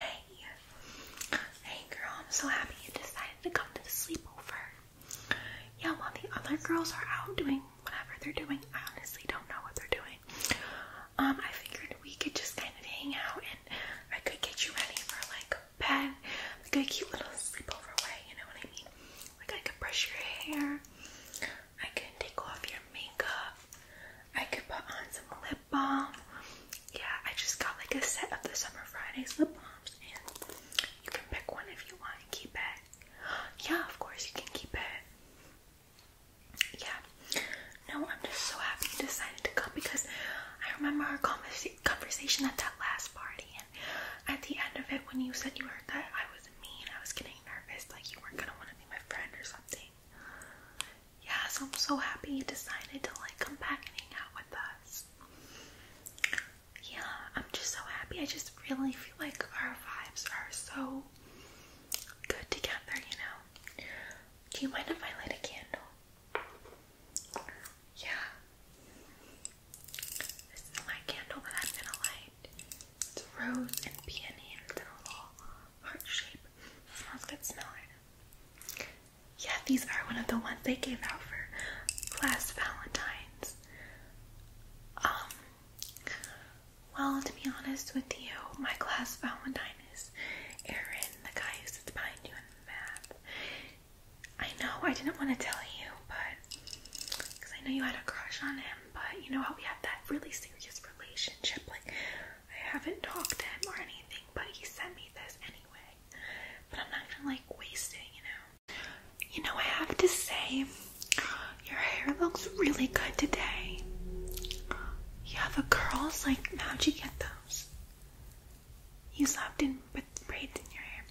Hey! Hey girl, I'm so happy you decided to come to the sleepover. Yeah, while the other girls are out doing whatever they're doing, I honestly don't know what they're doing. Um, I figured we could just kind of hang out and I could get you ready for like bed, like a cute little sleepover way, you know what I mean? Like I could brush your hair, I could take off your makeup, I could put on some lip lip balm. Yeah, I just got like a set of the Summer Fridays lip balms, and you can pick one if you want and keep it. Yeah, of course, you can keep it. Yeah, no, I'm just so happy you decided to come because I remember our conversa conversation at that last party, and at the end of it, when you said you heard that I was mean, I was getting nervous, like you weren't gonna want to be my friend or something. Yeah, so I'm so happy you decided to like come back and hang out with us. Yeah, I'm just so happy. I just really feel like our vibes are so good together, you know. Do you mind if I light a candle? Yeah. This is my candle that I'm gonna light. It's rose and peony heart shape. Smells good, smell Yeah, these are one of the ones they gave out for class Valentine's. Um, well, to be honest with you, my class Valentine is Aaron, the guy who sits behind you in the map. I know I didn't want to tell you, but I know you had a crush on him, but you know how we have that really serious relationship, like I haven't talked to him or anything, but he sent me this anyway. But I'm not gonna like waste it, you know. You know, I have to say, your hair looks really good today. You have the curls, like how'd you get those? You slept in with braids in your hair.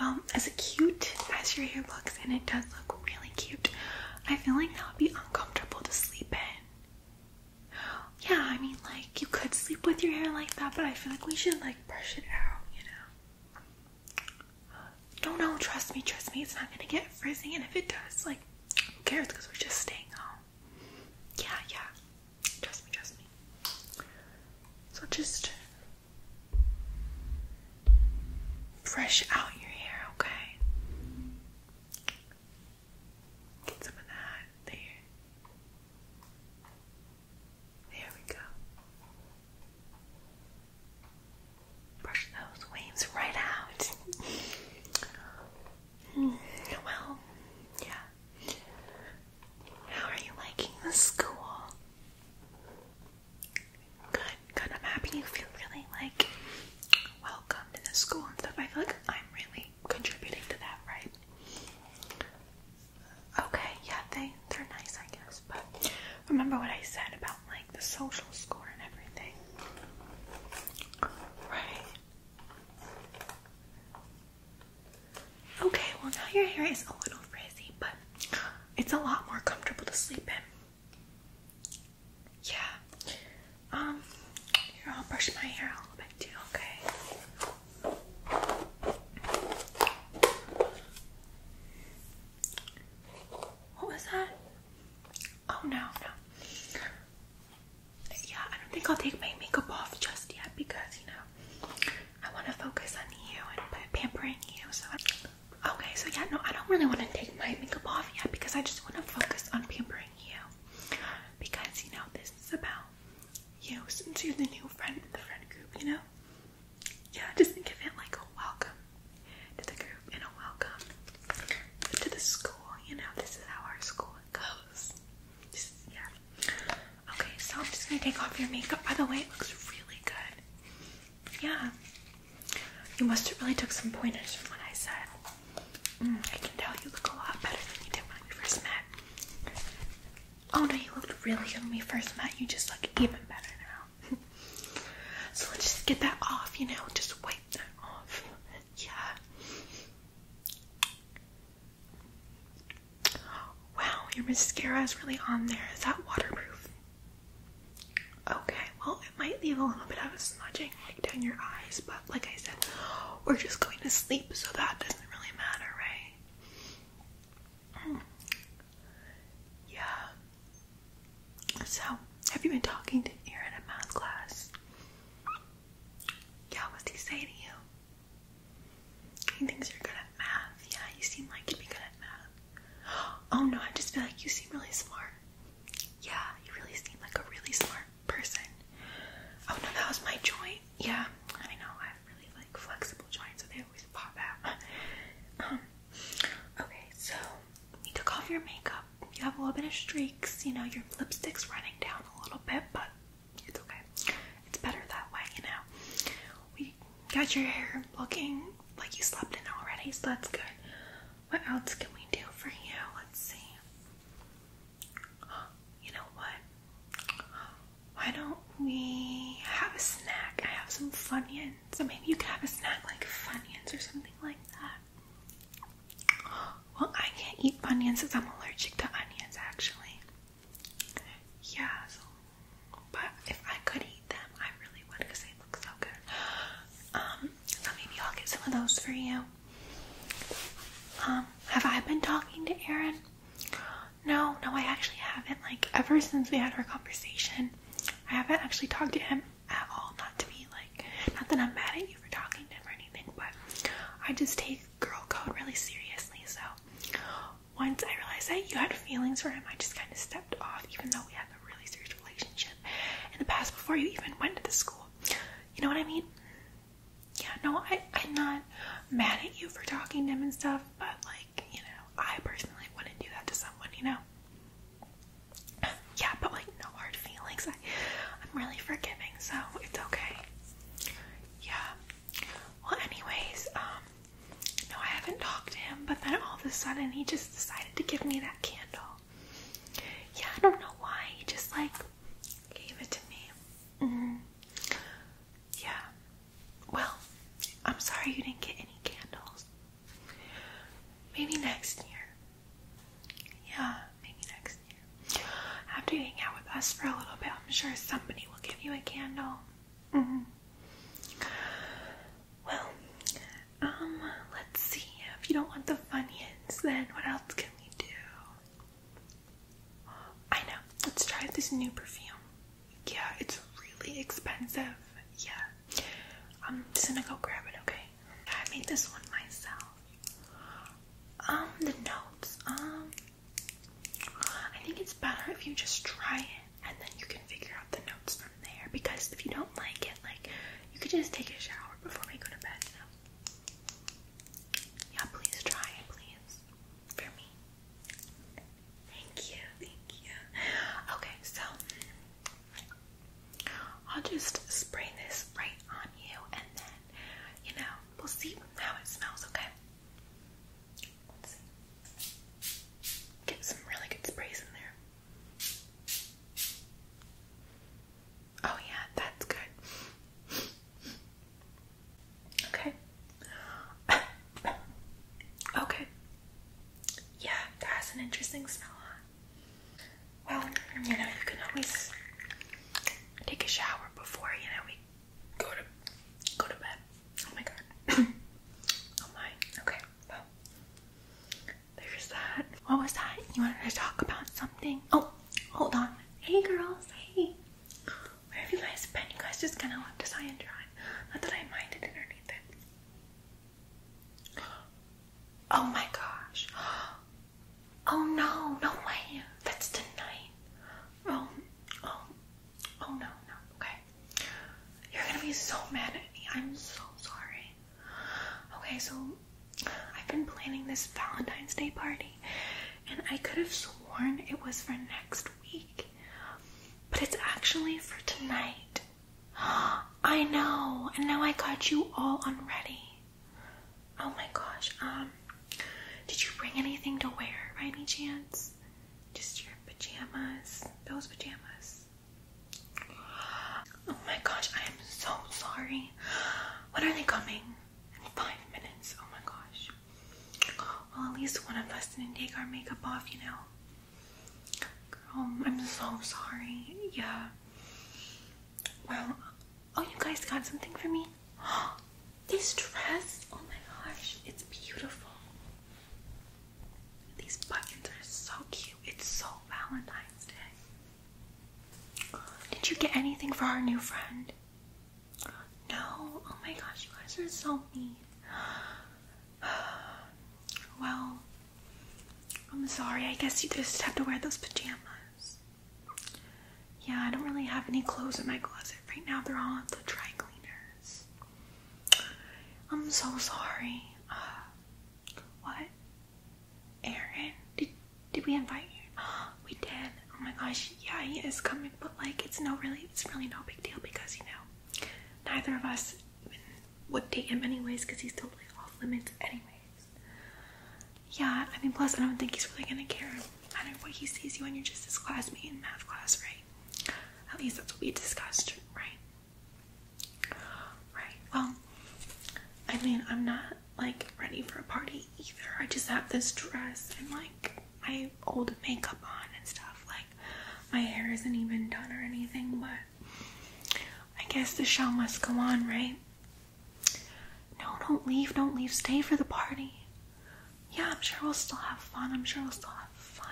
Well, as cute as your hair looks, and it does look really cute, I feel like that would be uncomfortable to sleep in. Yeah, I mean, like, you could sleep with your hair like that, but I feel like we should, like, brush it out, you know? No, no, trust me, trust me, it's not gonna get frizzy, and if it does, like, who cares, because we're just staying home. Yeah, yeah, trust me, trust me. So just brush out your hair, okay? Get some of that there. There we go. Brush those waves right out. Hmm, well, yeah. How are you liking the school? Good good. I'm happy you feel really like welcomed in the school and stuff. I feel like I'm really contributing to that, right? Okay, yeah, they they're nice, I guess. But remember what I said about like the social score and everything, right? Okay, well now your hair is a little frizzy, but it's a lot more comfortable to sleep in. Yeah. Um, I'll brush my hair a little bit too, okay? What was that? Oh no, no. Yeah, I don't think I'll take my makeup off just yet because, you know, I want to focus on you and pampering you, Okay, so yeah, no, I don't really want to take my makeup off yet because I just want to focus on pampering you. Because, you know, this is about you since you're the new friend in the friend group, you know? Yeah, just think of it like a welcome to the group and a welcome to the school, you know? This is how our school goes. Just, yeah. Okay, so I'm just gonna take off your makeup. By the way, it looks really good. Yeah. You must have really took some pointers from what I said. Mm, I can tell you look a lot better than you did when we first met. Oh no, you looked really good when we first met. You just look even better now. so let's just get that off, you know? Just wipe that off. Yeah. Wow, your mascara is really on there. Is that waterproof? Okay, well, it might leave a little bit of a smudging like down your eyes, but like I said, we're just going to sleep, so that doesn't really matter, right? Hmm. Yeah. So, have you been talking to Aaron in math class? Yeah, what's he say to you? He thinks you're good at math. Yeah, you seem like you'd be good at math. Oh no, I just feel like you seem really smart. Yeah, you really seem like a really smart person. Oh no, that was my joint. Yeah, I know. I have really like flexible joints, so they always pop out. Um, okay, so you took off your makeup. You have a little bit of streaks. You know, your lipstick's running down a little bit, but it's okay. It's better that way, you know. We got your hair looking like you slept in already, so that's good. What else can we do for you? Let's see. You know what? Why don't we have a snack? I have some Funyuns, so maybe you could have a snack like Funyuns or something like that. Well, I can't eat Funyuns since I'm allergic to onions, actually. Yeah, but if I could eat them, I really would because they look so good. Um, maybe I'll get some of those for you. Um, have I been talking to Aaron? No, no, I actually haven't. Like, ever since we had our conversation, I haven't actually talked to him at all. Not to be like, not that I'm mad at you for talking to him or anything, but I just take girl code really seriously. So, once I realized that you had feelings for him, I just kind of stepped off, even though we had a really serious relationship in the past before you even went to the school. You know what I mean? Yeah, no, I, am not mad at you for talking to him and stuff, but like, you know, I personally wouldn't do that to someone, you know? Yeah, but like, no hard feelings. I, I'm really forgiving, so it's okay. Yeah. Well, anyways, um, no, I haven't talked to him, but then all of a sudden he just decided to give me that candle. Yeah, I don't know why. He just like gave it to me. Mm. Yeah. Well, I'm sorry you didn't get any candles. Maybe next year. Yeah, maybe next year. After hanging out with us for a little bit, I'm sure somebody will give you a candle. Mm -hmm. Well, um, let's see. If you don't want the Funyuns, then what else can we do? I know. Let's try this new perfume. Yeah, it's really expensive. Yeah. I'm just gonna go grab it, okay? I made this one myself. Um, the notes. Um, I think it's better if you just try it and then you can figure out the notes from there. Because if you don't like it, like you can just take a shower before we go to bed. Yeah, please try it, please. For me. Thank you, thank you. Okay, so I'll just spray this right on you and then, you know, we'll see how it smells, okay? get some really good sprays in there. Oh, yeah, that's good. Okay. okay. Yeah, that an interesting smell, Well, you know, you can always take a shower before, you know, go to go to bed. Oh my god. oh my. Okay. Well, there's that. What was that? You wanted to talk about something? Oh, hold on. Hey girls. Hey. Where have you guys been? You guys just kind of left us high and dry. Not that I minded it Oh my gosh. Oh no, no way. That's tonight. Oh, oh, oh no, no. Okay. You're gonna be so mad at me. I'm so sorry. Okay, so I've been planning this Valentine's Day party, and I could have sworn it was for next week, but it's actually for tonight. I know, and now I got you all unready. Oh my gosh, um, did you bring anything to wear by any chance? Just your pajamas. Those pajamas. Oh my gosh, I am so sorry. When are they coming? five minutes. Oh my gosh. Well, at least one of us didn't take our makeup off, you know. Girl, I'm so sorry. Yeah. Well, oh, you guys got something for me? Oh, this dress, oh my gosh, it's beautiful. These buttons are so cute. It's so Valentine's Day. Did you get anything for our new friend? No. Oh my gosh, you guys are so mean. Well, I'm sorry. I guess you just have to wear those pajamas. Yeah, I don't really have any clothes in my closet right now they're all the dry cleaners. I'm so sorry. Uh, what? Aaron? Did, did we invite you? We did. Oh my gosh. Yeah, he is coming, but like, it's no really, it's really no big deal because, you know, neither of us would date him anyways because he's totally off limits anyways. Yeah, I mean, plus I don't think he's really gonna care I don't know what he sees you and you're just his classmate in math class, right? At least that's what we discussed, right? Right. Well, I mean, I'm not like ready for a party either. I just have this dress and like my old makeup on and stuff. Like my hair isn't even done or anything, but I guess the show must go on, right? No, don't leave, don't leave. Stay for the party. Yeah, I'm sure we'll still have fun. I'm sure we'll still have fun.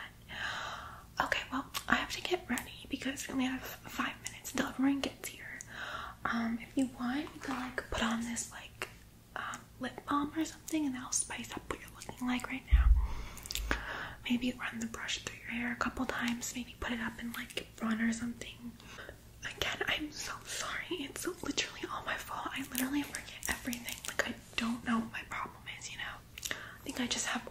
Okay, well, I have to get ready because we only have five minutes until everyone gets here. Um, if you want, you can like put on this like um, lip balm or something, and that'll spice up what you're looking like right now. Maybe run the brush through your hair a couple times. Maybe put it up in like run or something. Again, I'm so sorry. It's literally all my fault. I literally forget everything. Like I don't know what my problem is, you know. I think I just have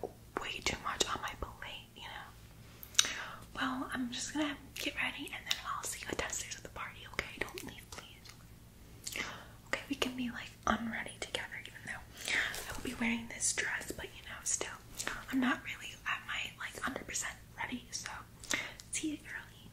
way too much on my plate, you know. Well, I'm just gonna get ready and then I'll see you downstairs at the party, okay? Don't leave, please. Okay, we can be like unready together, even though I will be wearing this dress, but you know, still, I'm not really at my like 100% ready, so see you early.